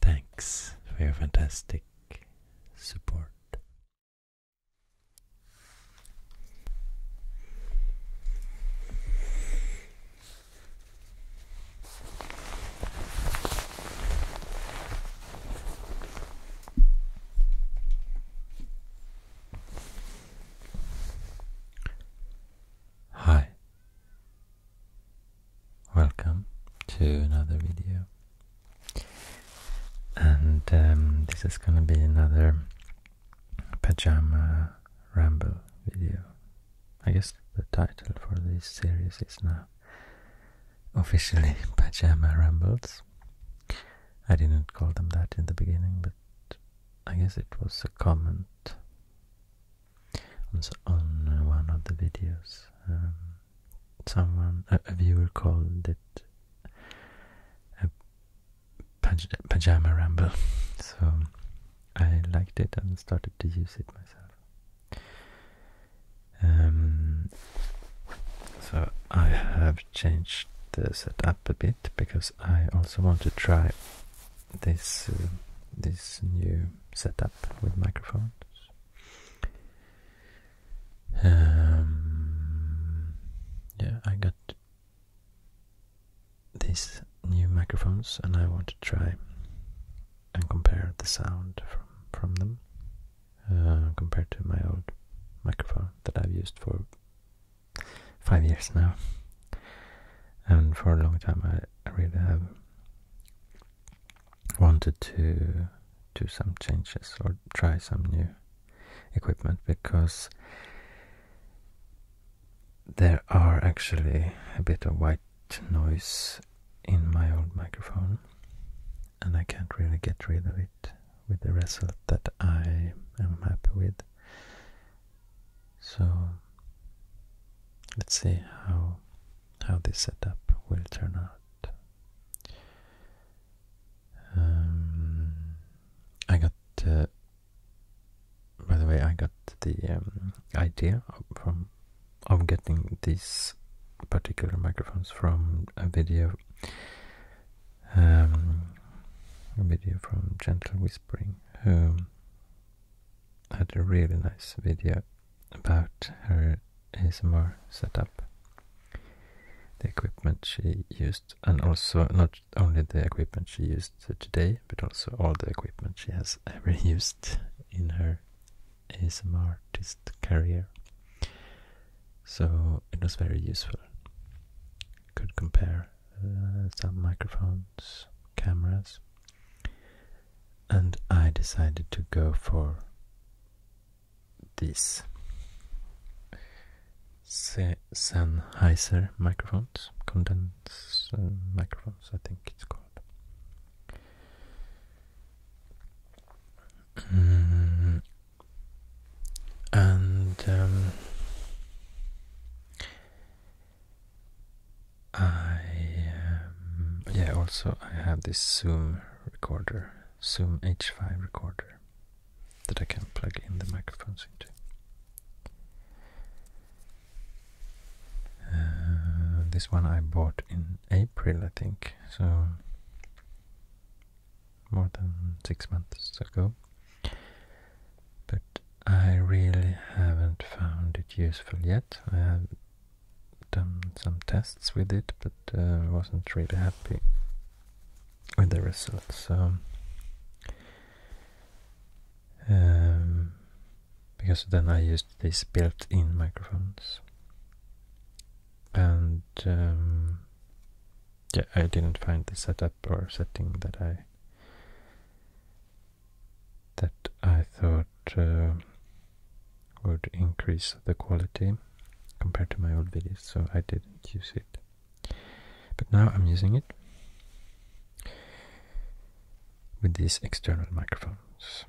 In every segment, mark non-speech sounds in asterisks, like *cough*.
Thanks for your fantastic support. Hi, Welcome to another video. And um, this is gonna be another pajama ramble video. I guess the title for this series is now officially *laughs* Pajama Rambles. I didn't call them that in the beginning, but I guess it was a comment on one of the videos, um, someone, a, viewer called it a pajama ramble. *laughs* So I liked it and started to use it myself. Um, so I have changed the setup a bit because I also want to try this uh, this new Set up with microphones. Um, yeah, I got these new microphones, and I want to try and compare the sound from from them uh, compared to my old microphone that I've used for five years now. And for a long time, I, I really have wanted to do some changes or try some new equipment because there are actually a bit of white noise in my old microphone and I can't really get rid of it with the result that I am happy with. So let's see how how this setup will turn out. Um, I got, uh, by the way, I got the um, idea of, from of getting these particular microphones from a video, um, a video from Gentle Whispering, who had a really nice video about her ASMR setup, the equipment she used, and also not only the equipment she used today, but also all the equipment she has ever *laughs* used in her ASMR artist career. So it was very useful. Could compare uh, some microphones, cameras, and I decided to go for these Sennheiser microphones, condenser microphones, I think it's called. Mm, and um, I yeah also I have this Zoom recorder, Zoom H5 recorder that I can plug in the microphones into. Uh, this one I bought in April, I think, so more than six months ago. But I really haven't found it useful yet. I have done some tests with it, but uh, wasn't really happy with the results. um, because then I used these built-in microphones, and um, yeah, I didn't find the setup or setting that I that I thought uh, would increase the quality compared to my old videos, so I didn't use it. But now I'm using it with these external microphones.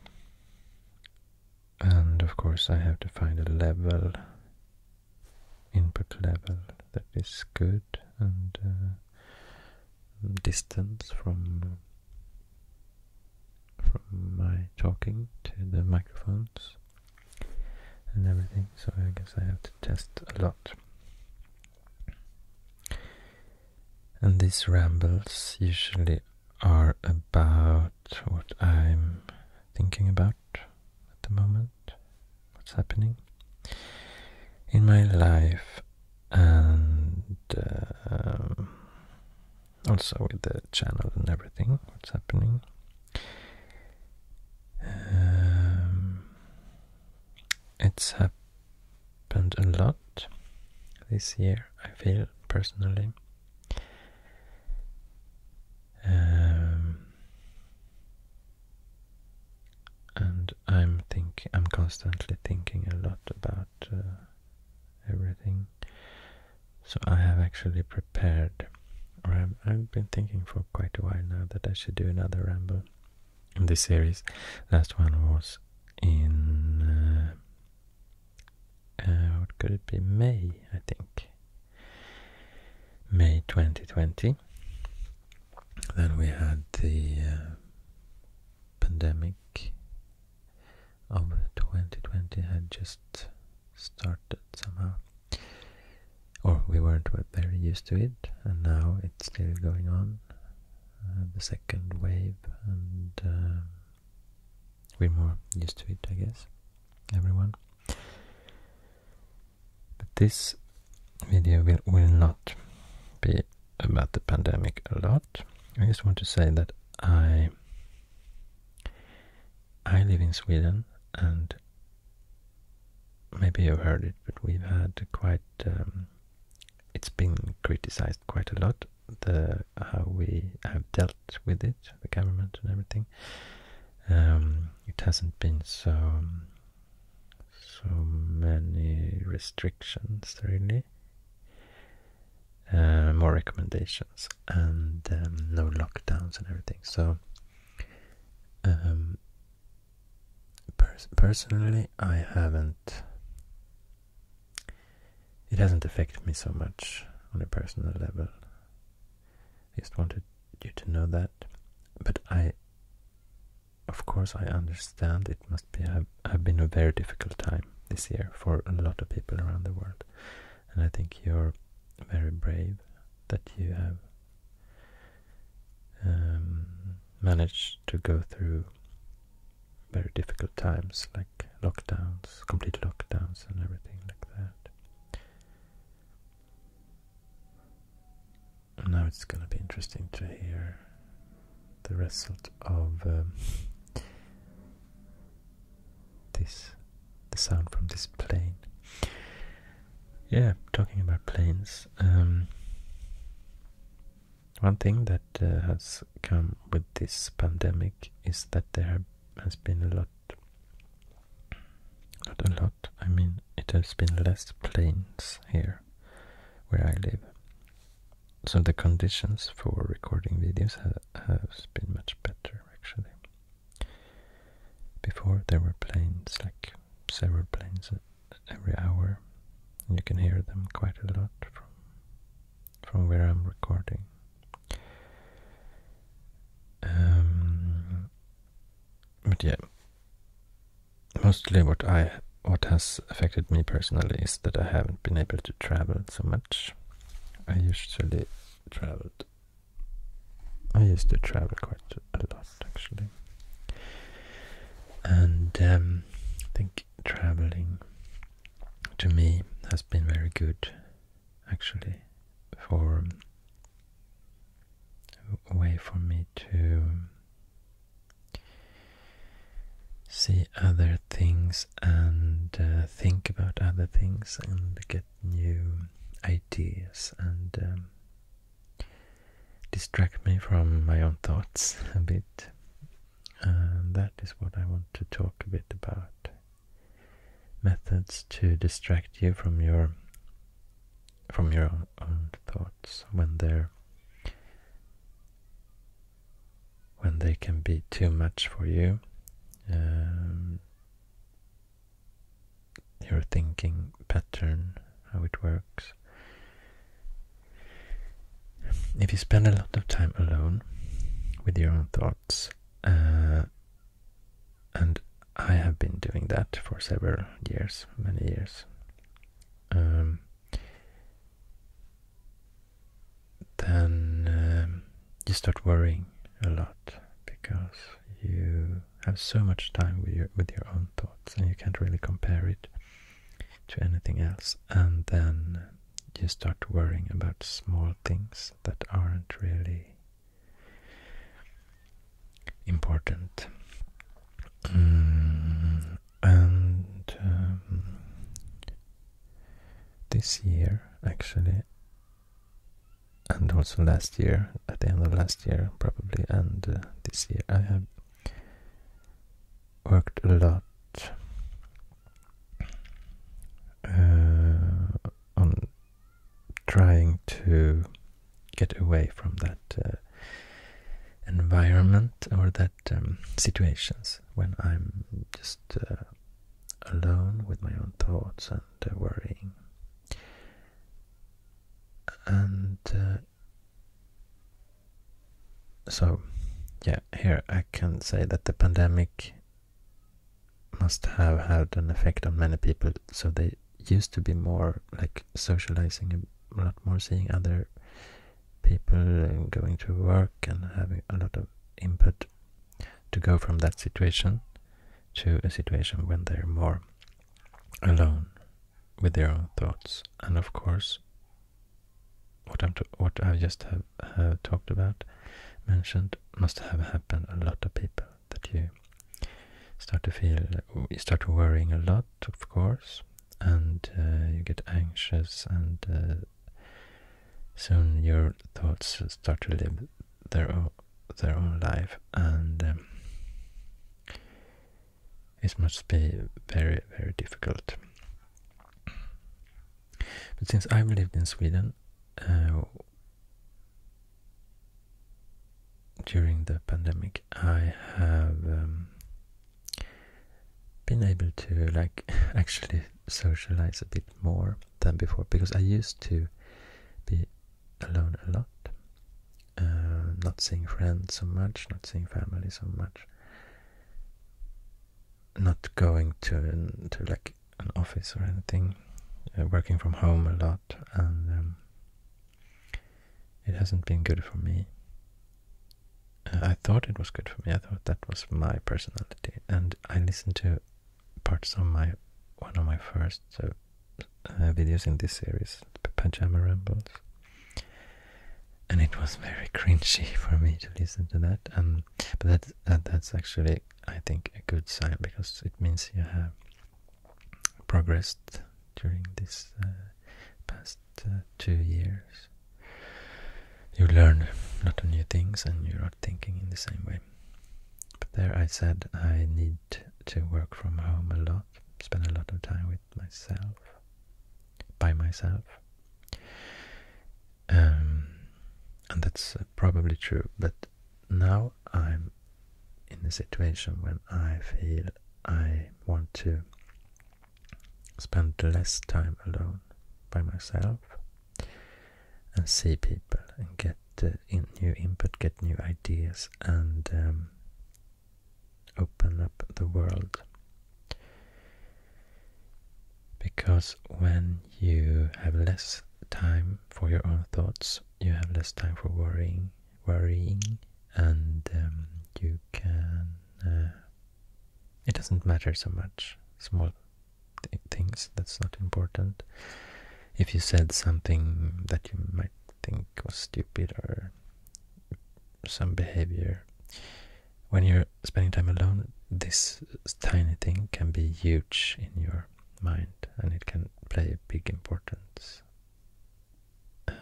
And of course I have to find a level, input level, that is good and uh, distance from from my talking to the microphones and everything, so I guess I have to test a lot. And these rambles usually are about what I'm thinking about at the moment, what's happening in my life, and um, also with the channel and everything, what's happening. Um, it's happened a lot this year, I feel personally. Um, and I'm thinking. I'm constantly thinking a lot about uh, everything. So I have actually prepared, or I've, been thinking for quite a while now that I should do another ramble in this series. Last one was in, uh, uh, what could it be, May, I think. May 2020. Then we had the uh, pandemic of 2020 had just started somehow. Or we weren't very used to it, and now it's still going on. Uh, the second wave, and uh, we're more used to it, I guess, everyone. But this video will, will not be about the pandemic a lot. I just want to say that I I live in Sweden, and maybe you've heard it, but we've had quite. Um, it's been criticized quite a lot the how we have dealt with it, the government and everything. Um, it hasn't been so so many restrictions really uh, more recommendations and um, no lockdowns and everything. So, um, personally, I haven't. It hasn't affected me so much on a personal level. I just wanted you to know that. But I, of course, I understand it must be a have been a very difficult time this year for a lot of people around the world. And I think you're very brave that you have um, managed to go through very difficult times like lockdowns, complete lockdowns, and everything like that. now it's going to be interesting to hear the result of um, this the sound from this plane. Yeah, talking about planes. Um, one thing that uh, has come with this pandemic is that there has been a lot, not a lot. I mean, it has been less planes here where I live so the conditions for recording videos have been much better actually. Before there were planes, like several planes every hour. You can hear them quite a lot from from where I'm recording. Um, but yeah, mostly what I what has affected me personally is that I haven't been able to travel so much much. I usually traveled. I used to travel quite a lot actually, and um, I think traveling to me has been very good actually for a way for me to see other things and uh, think about other things and get new ideas and um, distract me from my own thoughts a bit. that is what I want to talk a bit about. Methods to distract you from your from your own thoughts when they're when they can be too much for you. Um, your thinking pattern, how it works. If you spend a lot of time alone with your own thoughts, uh, and I have been doing that for several years, many years. Um, then um, you start worrying a lot because you have so much time with your with your own thoughts and you can't really compare it to anything else and then you start worrying about small things that aren't really important mm, and um, this year actually and also last year at the end of last year probably and uh, this year i have worked a lot uh, on trying to get away from that uh, environment or that um, situations when i'm just alone with my own thoughts and uh, worrying. And uh, so, yeah, here I can say that the pandemic must have had an effect on many people. So they used to be more like socializing, a lot more seeing other people, going to work, and having a lot of input to go from that situation to a situation when they're more alone with their own thoughts. And of course, what I'm just have talked about, mentioned, must have happened a lot of people that you start to feel, you start worrying a lot, of course, and uh, you get anxious and uh, soon your thoughts start to live their own, life and um, it must be very, very difficult. But since I've lived in Sweden uh, during the pandemic, I have um, been able to like *laughs* actually socialize a bit more than before because I used to be alone a lot, uh, not seeing friends so much, not seeing family so much, not going to to like an office or anything, uh, working from home a lot, and um, it hasn't been good for me. Uh, I thought it was good for me. I thought that was my personality, and I listened to parts of my one of my first uh, videos in this series, Pajama Rambles. And it was very *laughs* cringy for me to listen to that. Um, but that, that that's actually, I think, a good sign because it means you have progressed during this uh, past uh, two years. You learn a lot of new things and you're not thinking in the same way but there I said I need to work from home a lot, spend a lot of time with myself, by myself. Um, and that's uh, probably true, but now I'm in a situation when I feel I want to spend less time alone by myself and see people and get uh, new input, get new ideas, and um, open up the world. Because when you have less time for your own thoughts, you have less time for worrying, worrying, and um, you can. Uh, it doesn't matter so much. Small things. That's not important. If you said something that you might think was stupid or some behavior, when you're spending time alone, this tiny thing can be huge in your mind and it can play a big importance.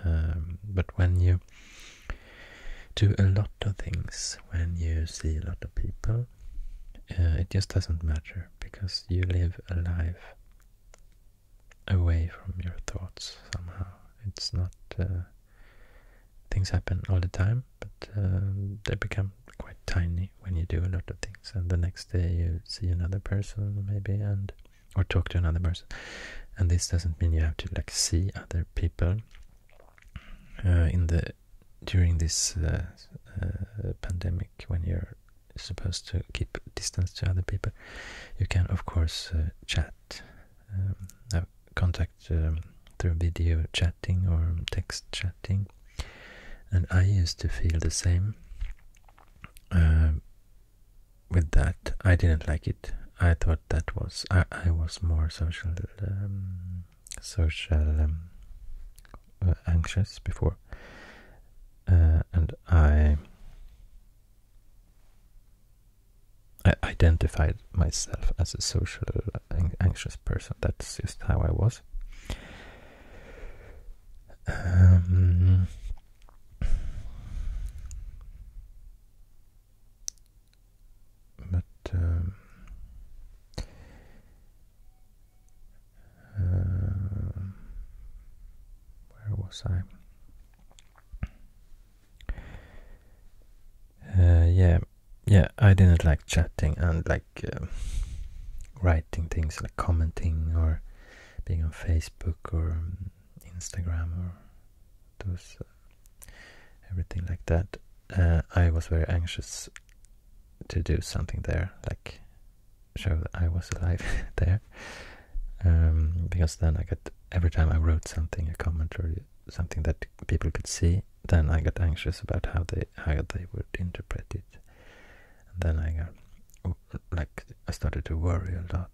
Um, but when you do a lot of things, when you see a lot of people, uh, it just doesn't matter because you live a life away from your thoughts somehow. It's not uh, things happen all the time, but uh, they become quite tiny when you do a lot of things. And the next day you see another person maybe and or talk to another person. And this doesn't mean you have to like see other people uh, in the during this uh, uh, pandemic when you're supposed to keep distance to other people, you can of course uh, chat, um, contact um, through video chatting or text chatting. And I used to feel the same um, with that. I didn't like it. I thought that was I, I was more social social um, uh, anxious before, uh, and I identified myself as a social anxious person. That's just how I was. Um, but um, uh, where was I? Uh, yeah, yeah. I didn't like chatting and like uh, writing things, like commenting or being on Facebook or Instagram or those everything like that. I was very anxious to do something there, like show that I was alive *laughs* there. Um, because then I got every time I wrote something, a comment or something that people could see, then I got anxious about how they how they would interpret it. And then I got like I started to worry a lot.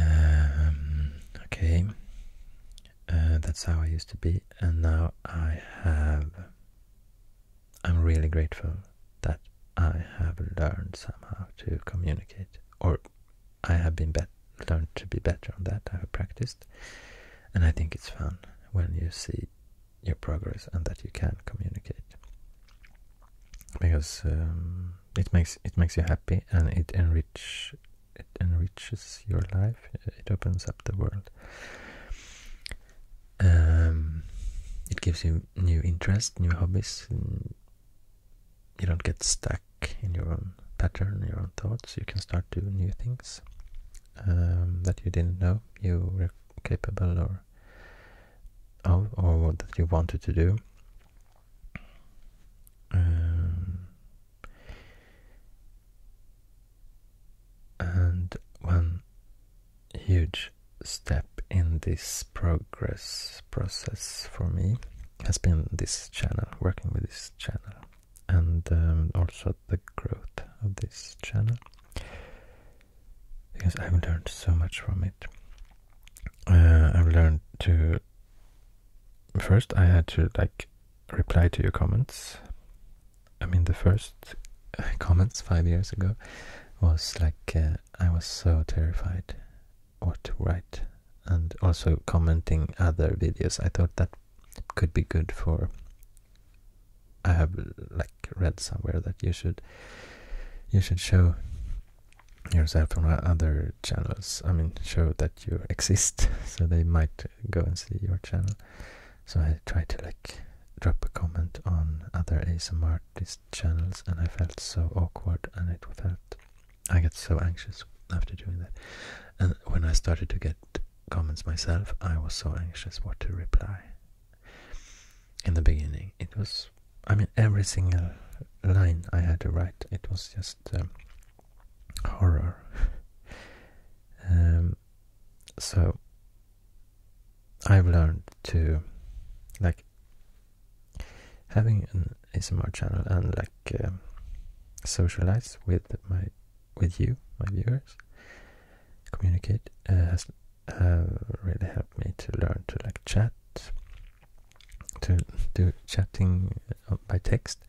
Um, okay, uh, that's how I used to be, and now I have. I'm really grateful that I have learned somehow to communicate, or I have been bet learned to be better on that. I have practiced, and I think it's fun when you see your progress and that you can communicate because um, it makes it makes you happy and it enrich it enriches your life, it opens up the world. Um, it gives you new interests, new hobbies. You don't get stuck in your own pattern, your own thoughts. You can start doing new things um, that you didn't know you were capable or of, or that you wanted to do. Um, and one huge step in this progress process for me has been this channel, working with this channel, and um, also the growth of this channel because I've learned so much from it. Uh, I've learned to first I had to like reply to your comments. I mean, the first *laughs* comments five years ago was like uh, I was so terrified what to write, and also commenting other videos. I thought that could be good for. I have like read somewhere that you should you should show yourself on other channels. I mean, show that you *laughs* exist, so they might go and see your channel. So I tried to like drop a comment on other ASMR artist channels and I felt so awkward and it felt I get so anxious after doing that. And when I started to get comments myself, I was so anxious what to reply. In the beginning, it was, I mean, every single line I had to write, it was just um, horror. *laughs* um, so I've learned to like having an ASMR channel and like uh, socialize with my with you, my viewers, communicate uh, has really helped me to learn to like chat, to do chatting uh, by text,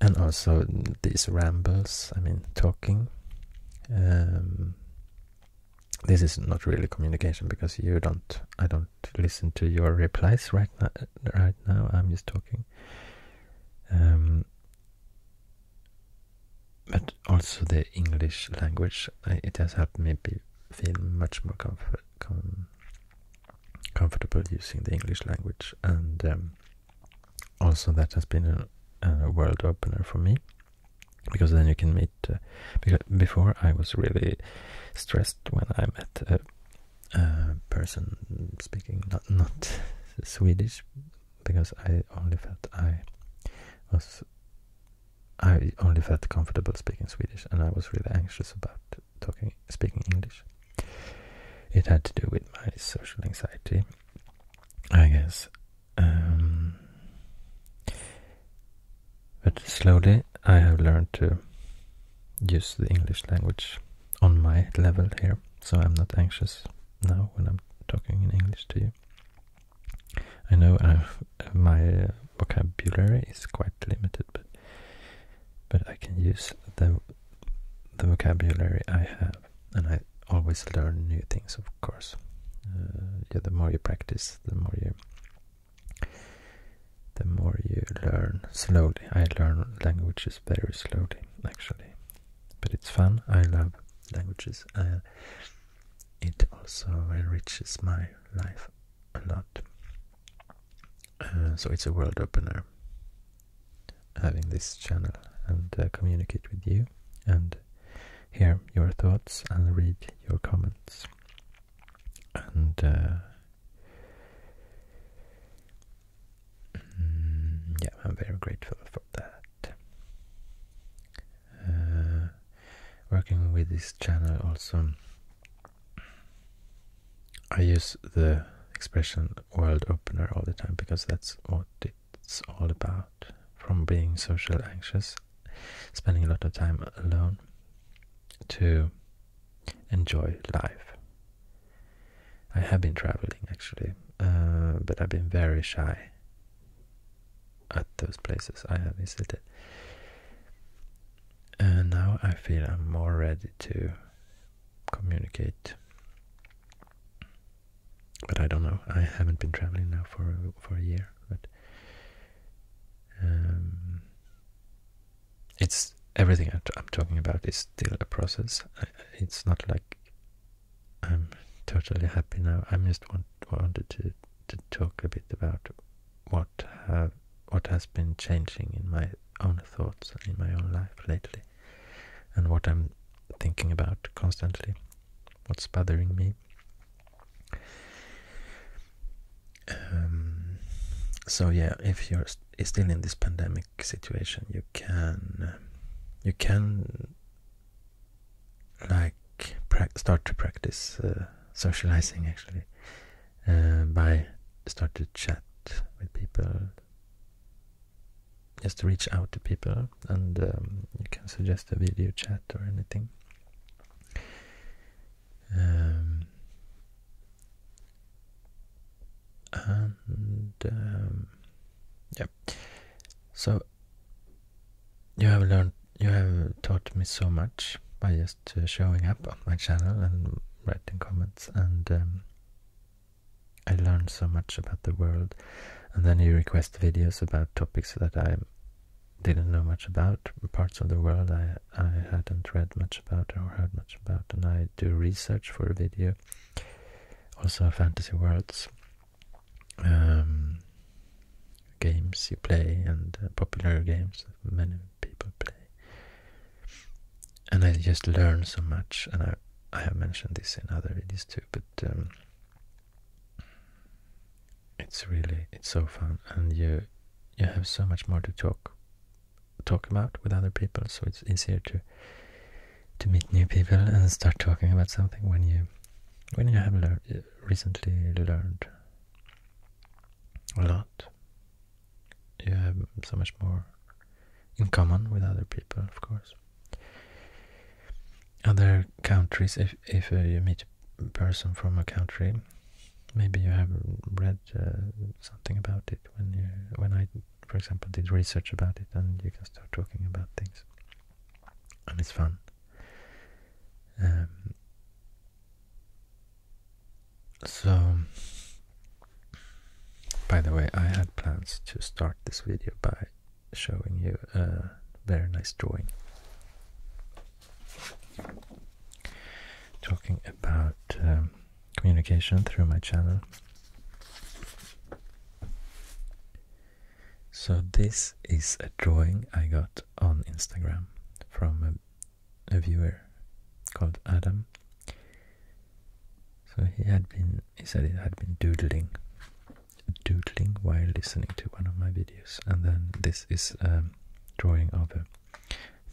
and also these rambles i mean talking um, this is not really communication because you don't i don't listen to your replies right now right now i'm just talking um, but also the english language it has helped me be, feel much more comfort, comfortable using the english language and um, also that has been a, world opener for me because then you can meet uh, because before i was really stressed when i met a, a person speaking not, not *laughs* swedish because i only felt i was i only felt comfortable speaking swedish and i was really anxious about talking speaking english it had to do with my social anxiety I guess. Um, but slowly I have learned to use the English language on my level here, so I'm not anxious now when I'm talking in English to you. I know my uh, vocabulary is quite limited, but but I can use the the vocabulary I have, and I always learn new things, of course. Uh, yeah, the more you practice, the more you the more you learn slowly. I learn languages very slowly, actually, but it's fun. I love languages. Uh, it also enriches my life a lot. Uh, so it's a world opener having this channel and uh, communicate with you and hear your thoughts and read your comments. And uh, mm, yeah, I'm very grateful for that. Uh, working with this channel also, I use the expression world opener all the time because that's what it it's all about from being social anxious, spending a lot of time alone, to enjoy life. I have been traveling actually, uh, but I've been very shy at those places I have visited. And now I feel I'm more ready to communicate but I don't know. I haven't been traveling now for for a year, but um, it's everything I'm talking about is still a process. it's not like I'm totally happy now. I am just wanted to to talk a bit about what have what has been changing in my own thoughts in my own life lately and what I'm thinking about constantly, what's bothering me. Um, so yeah, if you're still in this pandemic situation, you can you can like start to practice uh, socializing actually uh, by start to chat with people just reach out to people and um, you can suggest a video chat or anything. Um, and um, yeah, so you have learned, you have taught me so much by just uh, showing up on my channel and writing comments, and um, I learned so much about the world. And then you request videos about topics that I didn't know much about, parts of the world I, hadn't read much about or heard much about. And I do research for a video, also fantasy worlds, um, games you play, and uh, popular games that many people play. And I just learn so much, and I I have mentioned this in other videos too, but um, it's really it's so fun, and you you have so much more to talk talk about with other people, so it's easier to to meet new people and start talking about something when you when you have learned recently learned a lot. You have so much more in common with other people, of course. Other countries, if, if uh, you meet a person from a country, maybe you have read uh, something about it when you when I, for example, did research about it, and you can start talking about things, and it's fun. Um, so, by the way, I had plans to start this video by showing you a uh, very nice drawing. Talking about um, communication through my channel. So this is a drawing I got on Instagram from a viewer called Adam. So he had been, he said he had been doodling doodling while listening to one of my videos. And then this is a um, drawing of a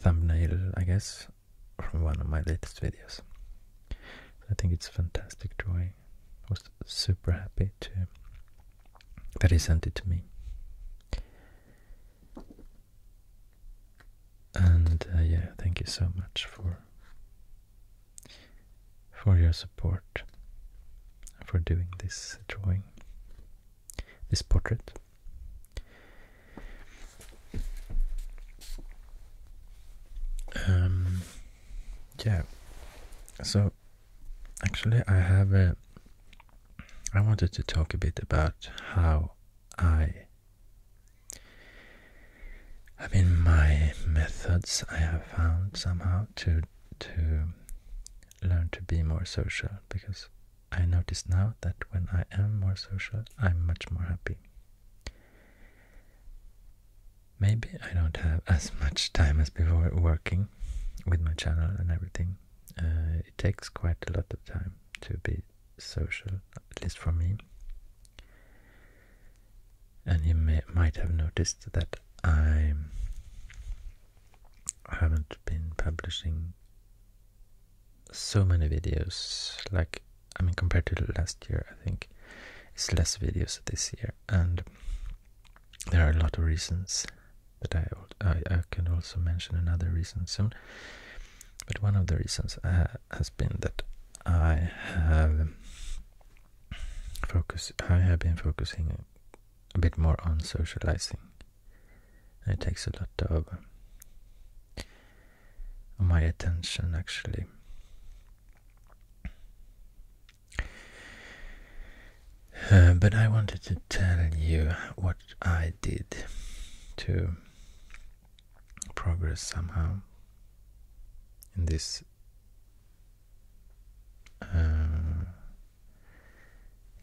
thumbnail, I guess, from one of my latest videos. I think it's a fantastic drawing. I was super happy to that he sent it to me. And uh, yeah, thank you so much for for your support for doing this drawing, this portrait. Um, yeah, so actually, I have a. I wanted to talk a bit about how I I mean, my methods I have found somehow to to learn to be more social because I notice now that when I am more social, I'm much more happy. Maybe I don't have *laughs* as much time as before working with my channel and everything. Uh, it takes quite a lot of time to be social, at least for me and you might have noticed that I haven't been publishing so many videos. Like, I mean, compared to last year, I think it's less videos this year, and there are a lot of reasons but I I, can also mention another reason soon. But one of the reasons uh, has been that I have focus. I have been focusing a bit more on socializing. It takes a lot of my attention actually. Uh, but I wanted to tell you what I did to progress somehow in this uh,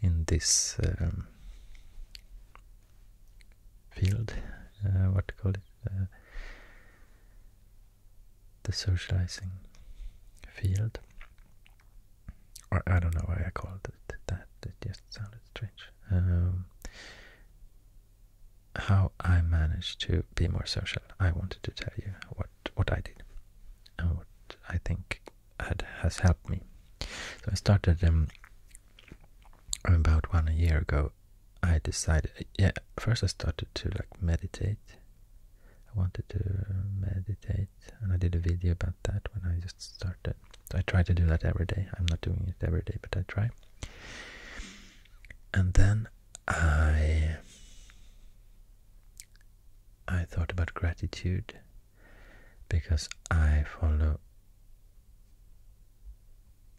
in this um, field, uh, what to call it, uh, the socializing field, or I don't know why I called it that. It just sounded strange. Um, how I managed to be more social, I wanted to tell you what what I did and uh, what I think had has helped me. So I started um, about one year ago. I decided, yeah, first I started to like meditate. I wanted to meditate, and I did a video about that when I just started. I try to do that every day. I'm not doing it every day, but I try. And then I I thought about gratitude because I follow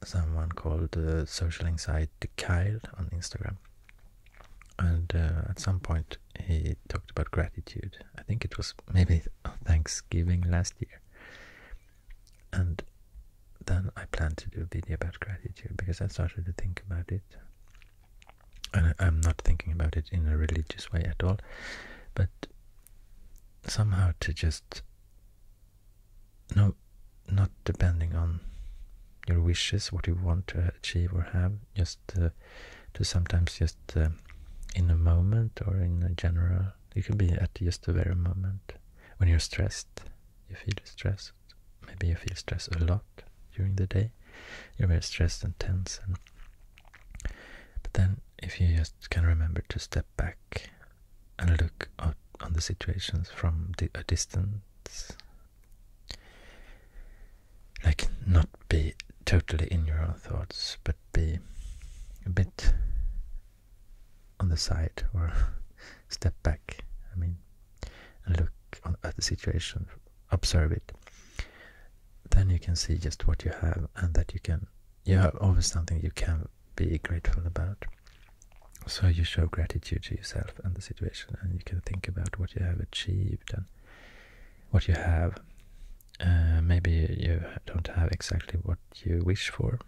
someone called uh, Social Anxiety Kyle on Instagram, and uh, at some point he talked about gratitude. I think it was maybe *laughs* Thanksgiving last year, and then I planned to do a video about gratitude because I started to think about it and I'm not thinking about it in a religious way at all, but somehow to just no, not depending on your wishes, what you want to achieve or have, just uh, to sometimes just uh, in a moment or in a general, it could be at just the very moment when you're stressed, you feel stress Maybe you feel stress a lot during the day. You're very stressed and tense. but then if you just can remember to step back and look on the situations from a distance, like not be totally in your own thoughts, but be a bit on the side or *laughs* step back. I mean, and look at the situation, observe it, then you can see just what you have and that you can, you have always something you can be grateful about. So you show gratitude to yourself and the situation, and you can think about what you have achieved and what you have. Uh, maybe you don't have exactly what you wish for.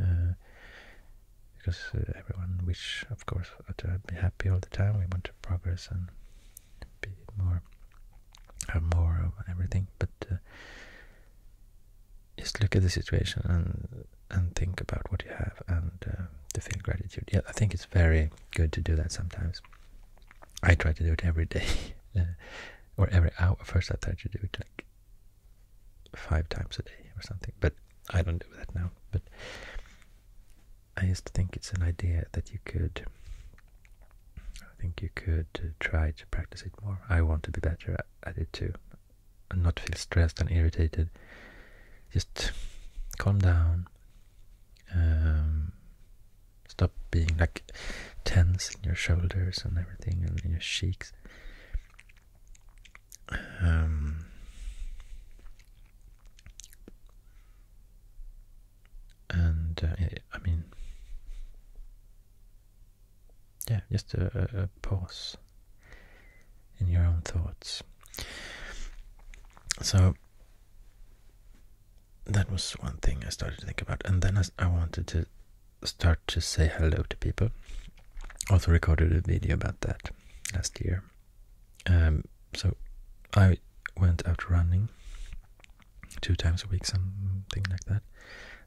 Uh, because uh, everyone wish, of course, to be happy all the time. We want to progress and be more, have more of everything. But uh, just look at the situation and and think about what you have and uh, to feel gratitude. Yeah, I think it's very good to do that sometimes. I try to do it every day *laughs* or every hour. First, I tried to do it like five times a day or something, but I don't do that now. But I used to think it's an idea that you could. I think you could uh, try to practice it more. I want to be better at it too, and not feel stressed and irritated. Just calm down. Um, stop being like tense in your shoulders and everything, and your cheeks. Um, and uh, I mean, yeah, just a, pause in your own thoughts. So that was one thing I started to think about, and then I wanted to start to say hello to people. Also recorded a video about that last year. Um, so I went out running two times a week, something like that.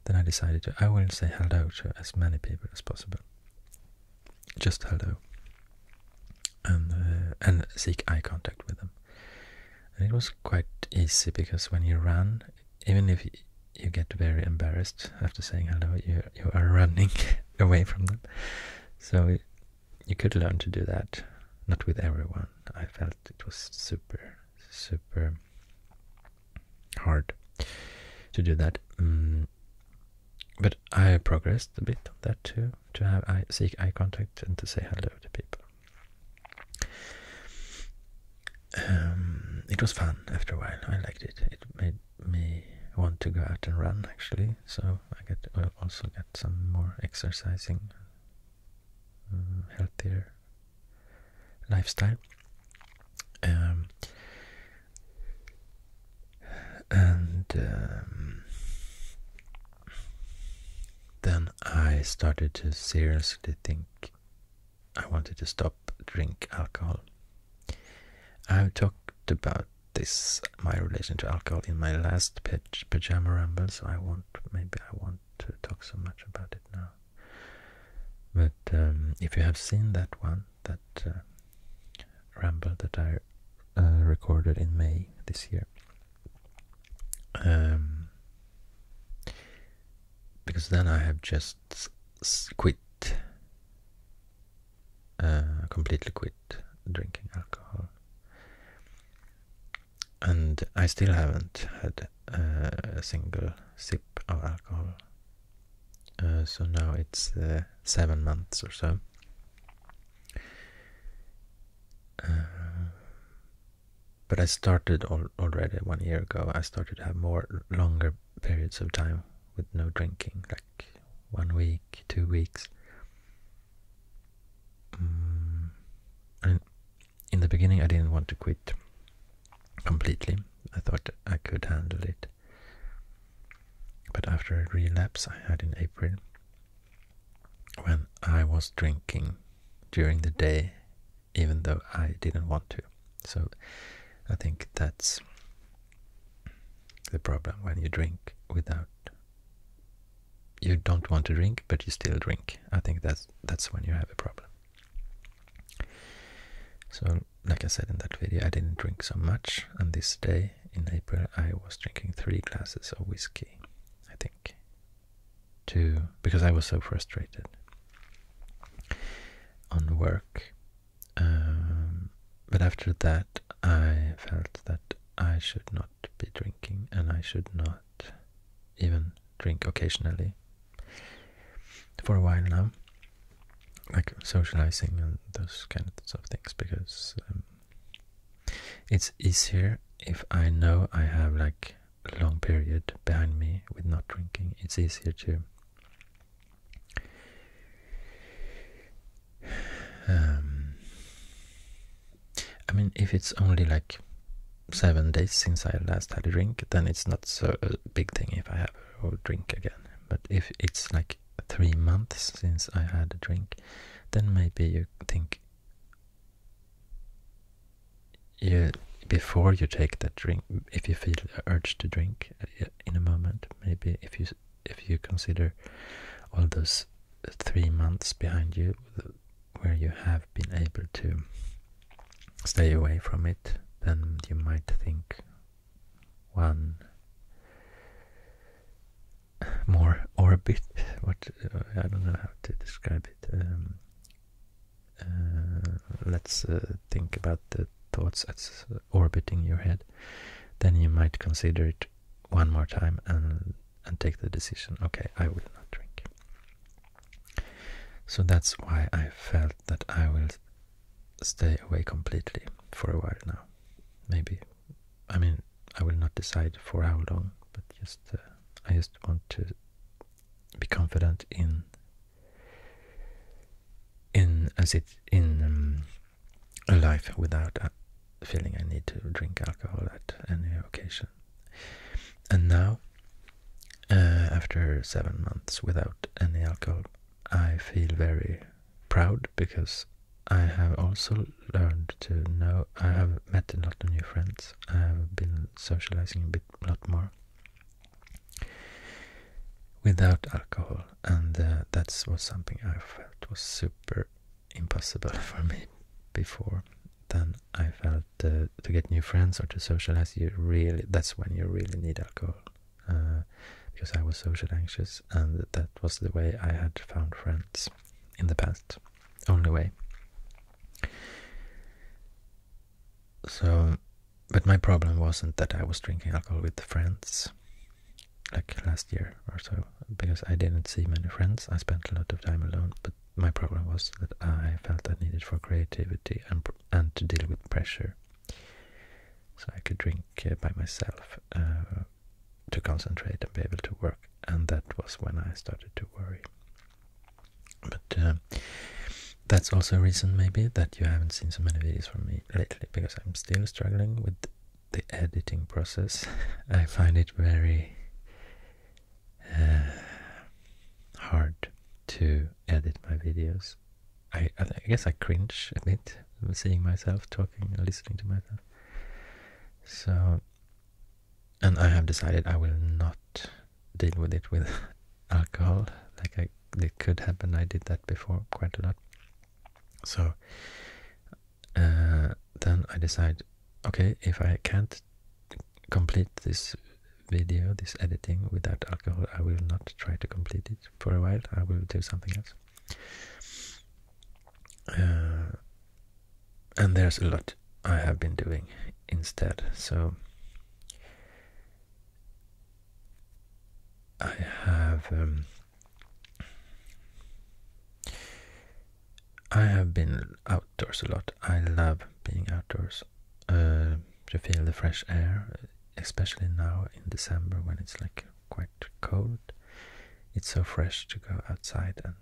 Then I decided to, I will say hello to as many people as possible. Just hello. And, uh, seek eye contact with them. And it was quite easy because when you run, even if you get very embarrassed after saying hello, you are *laughs* running away from them. So you could learn to do that. Not with everyone. I felt it was super, super hard to do that. Mm. but I progressed a bit on that too, to have eye, seek eye contact and to say hello to people. Um, it was fun after a while. I liked it. It made me want to go out and run actually so I get uh, also get some more exercising, mm, healthier lifestyle. Um, and um, then I started to seriously think I wanted to stop drink alcohol. i talked about this my relation to alcohol in my last pajama ramble, so I won't. Maybe I won't uh, talk so much about it now. But um, if you have seen that one, that uh, ramble that I uh, recorded in May this year, um, because then I have just quit uh, completely quit drinking alcohol. And I still haven't had uh, a single sip of alcohol. Uh, so now it's seven months or so. but I started already one year ago. I started to have more longer periods of time with no drinking, like one week, two weeks. Mm, in the beginning, I didn't want to quit completely. I thought I could handle it. But after a relapse I had in April, when I was drinking during the day, even though I didn't want to. So I think that's the problem when you drink without you don't want to drink, but you still drink. I think that's that's when you have a problem. So, like I said in that video, I didn't drink so much, and this day in April I was drinking three glasses of whiskey, I think, to because I was so frustrated on work. Um, but after that, I felt that I should not not be drinking and I should not even drink occasionally for a while now. Like socializing and those kinds of things because um, it's easier if I know I have like a long period behind me with not drinking. It's easier to um, I mean, if it's only like seven days since I last had a drink, then it's not so a uh, big thing if I have a drink again. But if it's like three months since I had a drink, then maybe you think you before you take that drink, if you feel the urge to drink uh, in a moment, maybe if you if you consider all those three months behind you where you have been able to stay away from it, then you might think one more orbit. What uh, I don't know how to describe it. Um, uh, let's uh, think about the thoughts that's orbiting your head. Then you might consider it one more time and and take the decision okay i will not drink so that's why i felt that i will stay away completely for a while now maybe i mean i will not decide for how long but just uh, i just want to be confident in in as it in um, a life without a, uh, feeling I need to drink alcohol at any occasion. And now, uh, after seven months without any alcohol, I feel very proud because I have also learned to know. I have met a lot of new friends. I have been socializing a bit, a lot more without alcohol, and uh, that was something I felt was super impossible for me before then I felt uh, to get new friends or to socialize you really that's when you really need alcohol uh, because I was social anxious and that was the way I had found friends in the past only way so but my problem wasn't that I was drinking alcohol with friends like last year or so, because I didn't see many friends. I spent a lot of time alone, but my problem was that I felt I needed for creativity and and to deal with pressure. So I could drink uh, by myself uh, to concentrate and be able to work, and that was when I started to worry. But uh, that's also a reason maybe that you haven't seen so many videos from me lately because I'm still struggling with the editing process. *laughs* I find it very uh, hard to edit my videos. I, guess I cringe a bit seeing myself talking and listening to myself. So, and I have decided I will not deal with it with *laughs* alcohol. Like it could happen. I did that before quite a lot. So, uh, then I decide, okay, if I can't complete this video, this editing without alcohol, I will not try to complete it for a while. I will do something else. Uh, and there's a lot I have been doing instead. So I have um, I have been outdoors a lot. I love being outdoors. Uh, to feel the fresh air, especially now in December when it's like quite cold. It's so fresh to go outside, and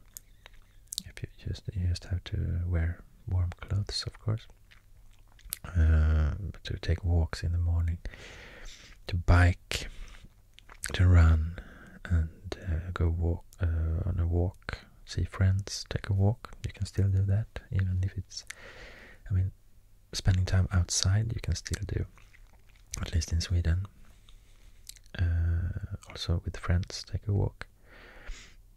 if you just you just have to wear warm clothes, of course. Uh, to take walks in the morning, to bike, to run and uh, go walk uh, on a walk, see friends, take a walk. You can still do that, even if it's, I mean, spending time outside you can still do, at least in Sweden. Uh, also with friends, take a walk.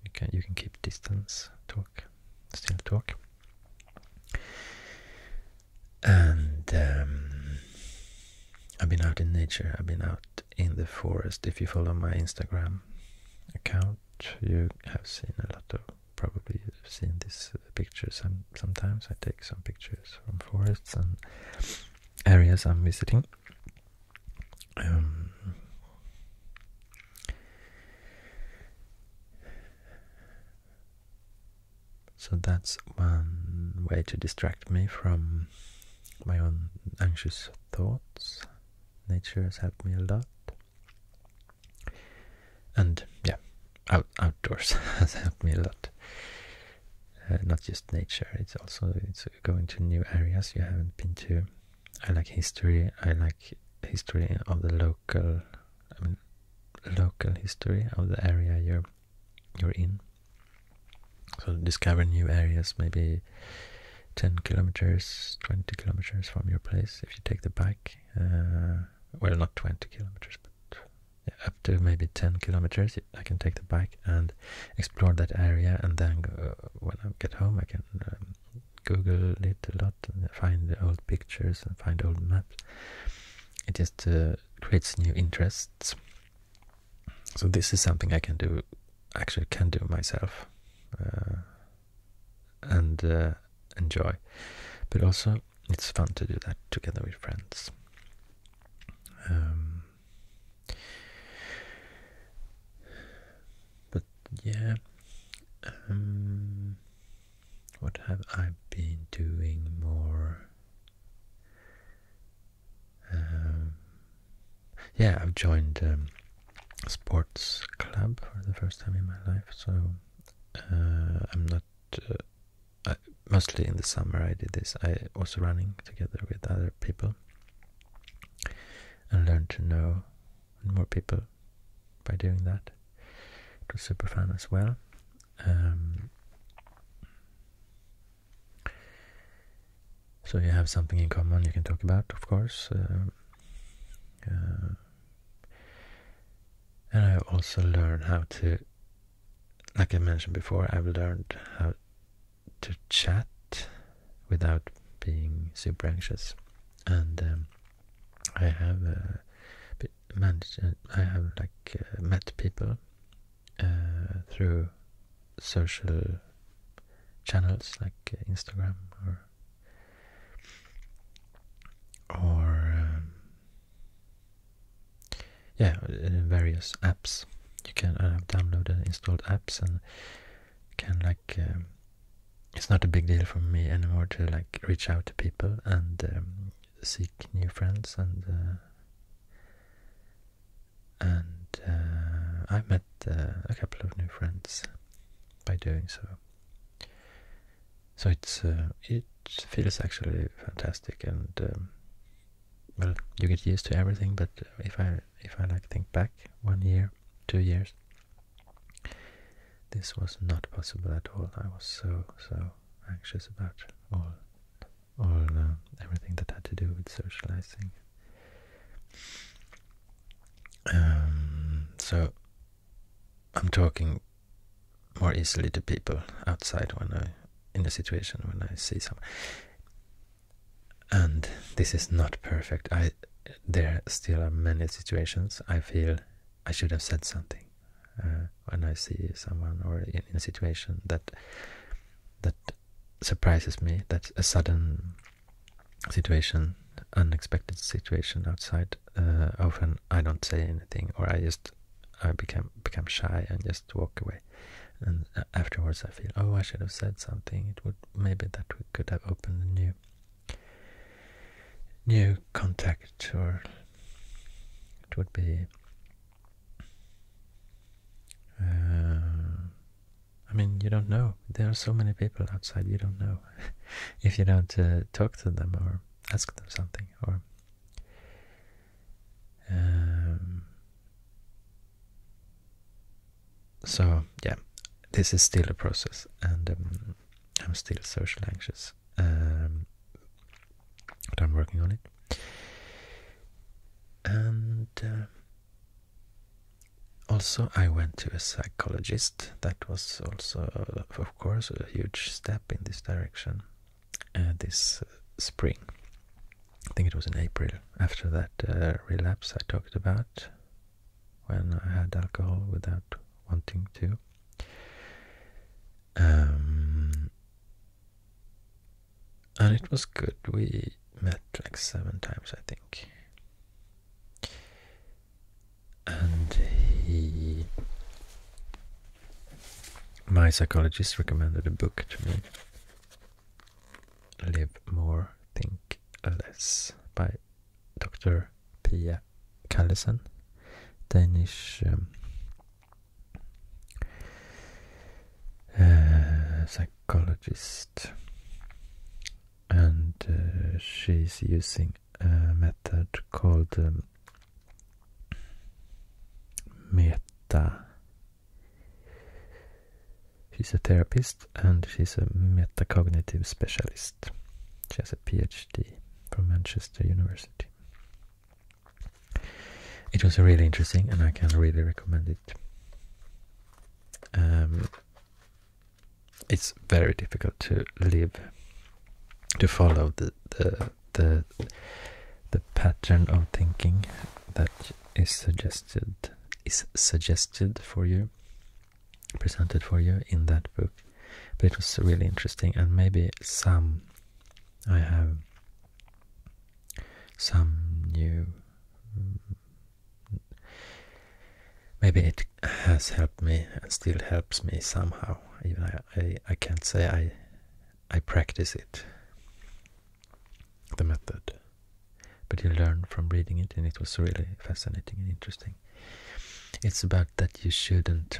You can you can keep distance, talk, still talk. And um, I've been out in nature, I've been out in the forest. If you follow my Instagram account, you have seen a lot of probably seen these uh, pictures. i sometimes I take some pictures from forests and areas I'm visiting. Um, so that's one way to distract me from my own anxious thoughts. Nature has helped me a lot. And yeah, out, outdoors *laughs* has helped me a lot. Uh, not just nature, it's also it's going to new areas you haven't been to. I like history. I like history of the local, I mean, local history of the area you're you're in. So discover new areas, maybe 10 kilometers, 20 kilometers from your place if you take the bike. Uh, well, not 20 kilometers, but up to maybe 10 kilometers, I can take the bike and explore that area. And then when I get home, I can um, Google it a lot and find the old pictures and find old maps. It just uh, creates new interests so this is something I can do, actually can do myself, uh, and uh, enjoy. But also, it's fun to do that together with friends. Um, but yeah, um, what have I been doing more? Um, yeah, I've joined a um, sports club for the first time in my life, so uh, I'm not. Uh, mostly in the summer, I did this. I was running together with other people and learned to know more people by doing that. It was super fun as well. Um, so you have something in common you can talk about, of course. Uh, uh, and I also learned how to, like I mentioned before, I've learned how to chat without being super anxious, and um, I have uh, managed. I have like met people uh, through social channels like uh, Instagram or or um, yeah, uh, various apps. You can download and install apps and can like. Um, it's not a big deal for me anymore to like reach out to people and um, seek new friends and and uh, I met uh, a couple of new friends by doing so. So it's uh, it feels actually fantastic, and um, well, you get used to everything. But if I if I like think back one year, two years, this was not possible at all. I was so so anxious about all or uh, everything that had to do with socializing. Um, so I'm talking more easily to people outside when I in a situation when I see someone. And this is not perfect. I there still are many situations I feel I should have said something uh, when I see someone or in a situation that that surprises me. that a sudden situation, unexpected situation outside. Uh, often I don't say anything, or I just I become become shy and just walk away. And uh, afterwards, I feel, oh, I should have said something. It would maybe that we could have opened a new new contact, or it would be. Uh, I mean, you don't know. There are so many people outside. You don't know *laughs* if you don't uh, talk to them or ask them something or. Um, so yeah, this is still a process, and um, I'm still socially anxious, um, but I'm working on it. And uh, also, I went to a psychologist. That was also, uh, of course, a huge step in this direction uh, this uh, spring. I think it was in April after that relapse I talked about when I had alcohol without wanting to. Um, and it was good. We met like seven times, I think. And he, my psychologist, recommended a book to me Live More, Think Less by Dr. Pia Callesen, Danish um, uh, psychologist, and uh, she's using a method called um, meta. She's a therapist and she's a metacognitive specialist. She has a PhD from Manchester University. It was really interesting and I can really recommend it. Um, it's very difficult to live to follow the the the the pattern of thinking that is suggested is suggested for you presented for you in that book but it was really interesting and maybe some i have some new maybe it has helped me and still helps me somehow. Even I, can't say I I practice it, the method. But you learn from reading it, and it was really fascinating and interesting. It's about that you shouldn't.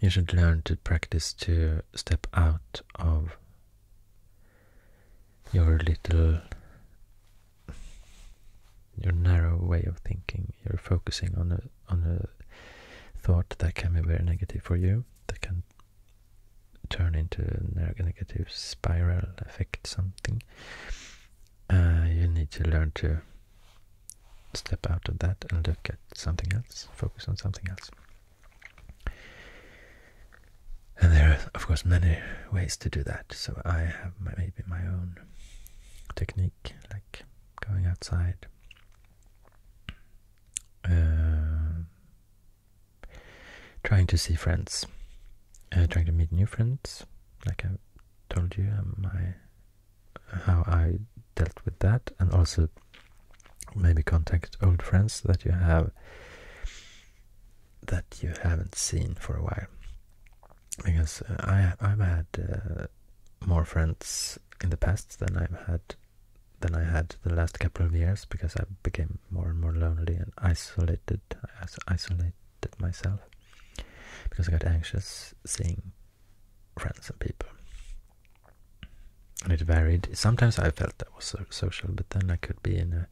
You should learn to practice to step out of your little your narrow way of thinking. You're focusing on a on a thought that can be very negative for you, that can turn into a negative spiral, affect something. Uh, you need to learn to step out of that and look at something else, focus on something else. And there are, of course, many ways to do that. So I have maybe my own technique, like going outside. Uh, trying to see friends, uh, trying to meet new friends. Like I told you, um, my how I dealt with that, and also maybe contact old friends that you have that you haven't seen for a while. Because uh, I I've had uh, more friends in the past than I've had than I had the last couple of years because I became more and more lonely and isolated. I isolated myself because I got anxious seeing friends and people. And it varied. Sometimes I felt I was social, but then I could be in a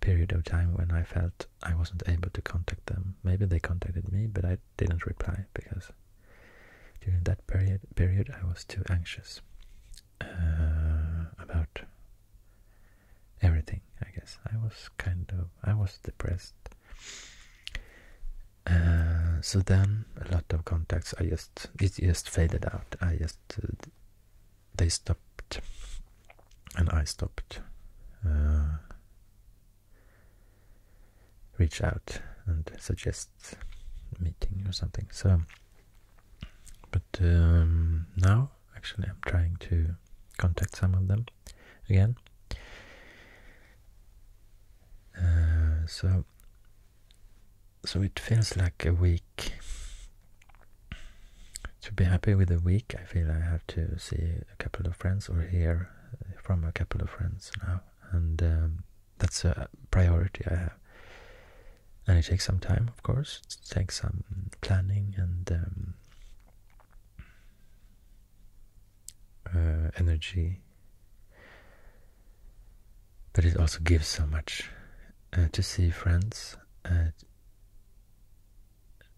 period of time when I felt I wasn't able to contact them. Maybe they contacted me, but I didn't reply because during that period period I was too anxious uh, about everything. I guess I was kind of I was depressed. Uh, so then a lot of contacts I just it just faded out. I just uh, they stopped, and I stopped. Uh, reach out and suggest meeting or something. So, but um, now actually I'm trying to contact some of them again. Uh, so, so it feels like a week to be happy with the week, I feel I have to see a couple of friends or hear from a couple of friends now, and um, that's a priority I have. And it takes some time, of course. It takes some planning and um, uh, energy, but it also gives so much uh, to see friends. Uh,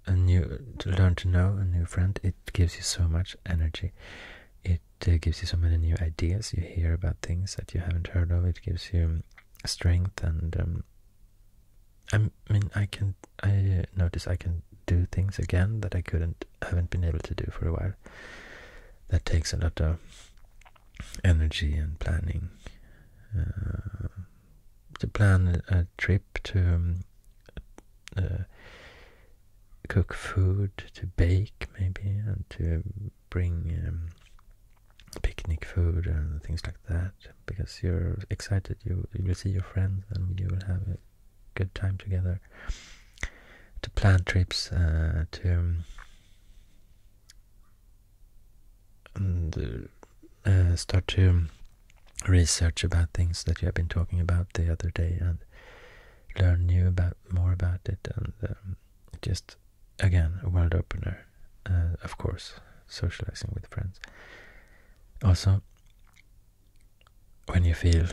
a new to learn to know a new friend it gives you so much energy it uh, gives you so many new ideas you hear about things that you haven't heard of it gives you strength and um, i mean i can i uh, notice i can do things again that i couldn't haven't been able to do for a while that takes a lot of energy and planning uh, to plan a trip to um, uh, cook food, to bake maybe, and to bring um, picnic food and things like that. Because you're excited, you will see your friends, and you will have a good time together. To plan trips, uh, to um, and uh, uh, start to research about things that you have been talking about the other day and learn new about more about it and um, just again a world opener uh, of course socializing with friends also when you feel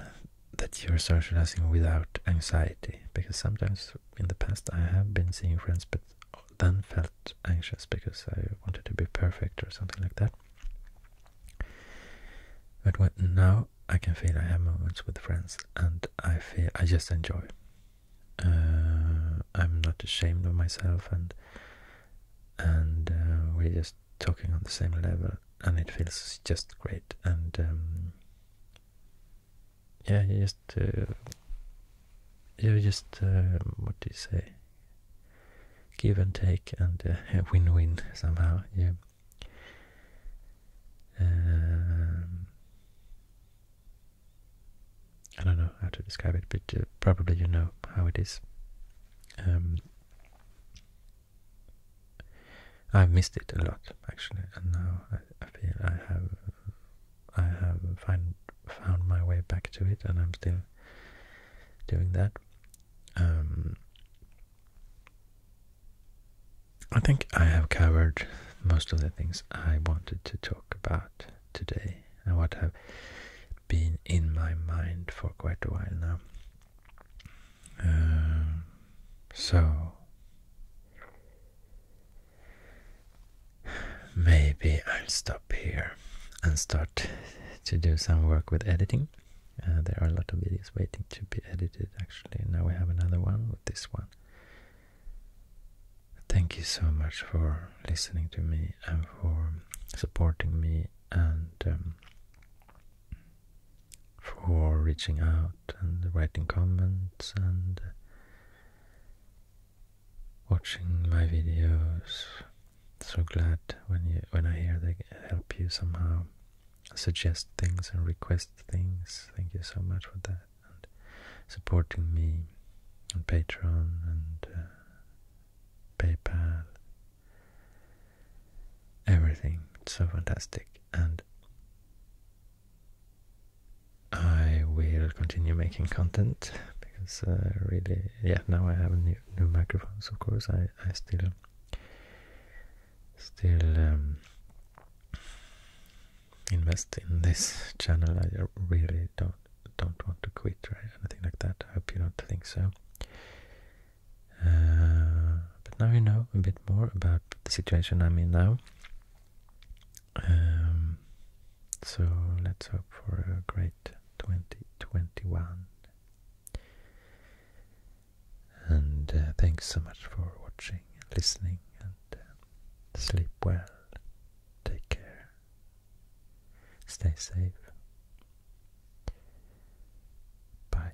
that you're socializing without anxiety because sometimes in the past I have been seeing friends but then felt anxious because I wanted to be perfect or something like that. But now I can feel I have moments with friends, and I feel I just enjoy. Uh, I'm not ashamed of myself, and and uh, we're just talking on the same level, and it feels just great. And um, yeah, you just uh, you just uh, what do you say? Give and take and uh, *laughs* win-win somehow. Yeah. Um, I don't know how to describe it, but uh, probably you know how it is. Um, I've missed it a lot actually, and now I, I feel I have I have find found my way back to it, and I'm still doing that. Um, I think I have covered most of the things I wanted to talk about today and what have been in my mind for quite a while now. Um, so, maybe I'll stop here and start to do some work with editing. Uh, there are a lot of videos waiting to be edited actually. Now we have another one with this one. Thank you so much for listening to me and for supporting me and um, for reaching out and writing comments and watching my videos. So glad when you when I hear they help you somehow suggest things and request things. Thank you so much for that and supporting me on Patreon and uh, PayPal. Everything it's so fantastic and. I will continue making content because uh, really, yeah, now I have a new new microphones, of course. I I still still um, invest in this channel. I really don't don't want to quit or anything like that. I hope you don't think so. Uh, but now you know a bit more about the situation I'm in now. Um, so let's hope for a great 2021. And uh, thanks so much for watching and listening, and uh, sleep well, take care, stay safe. Bye.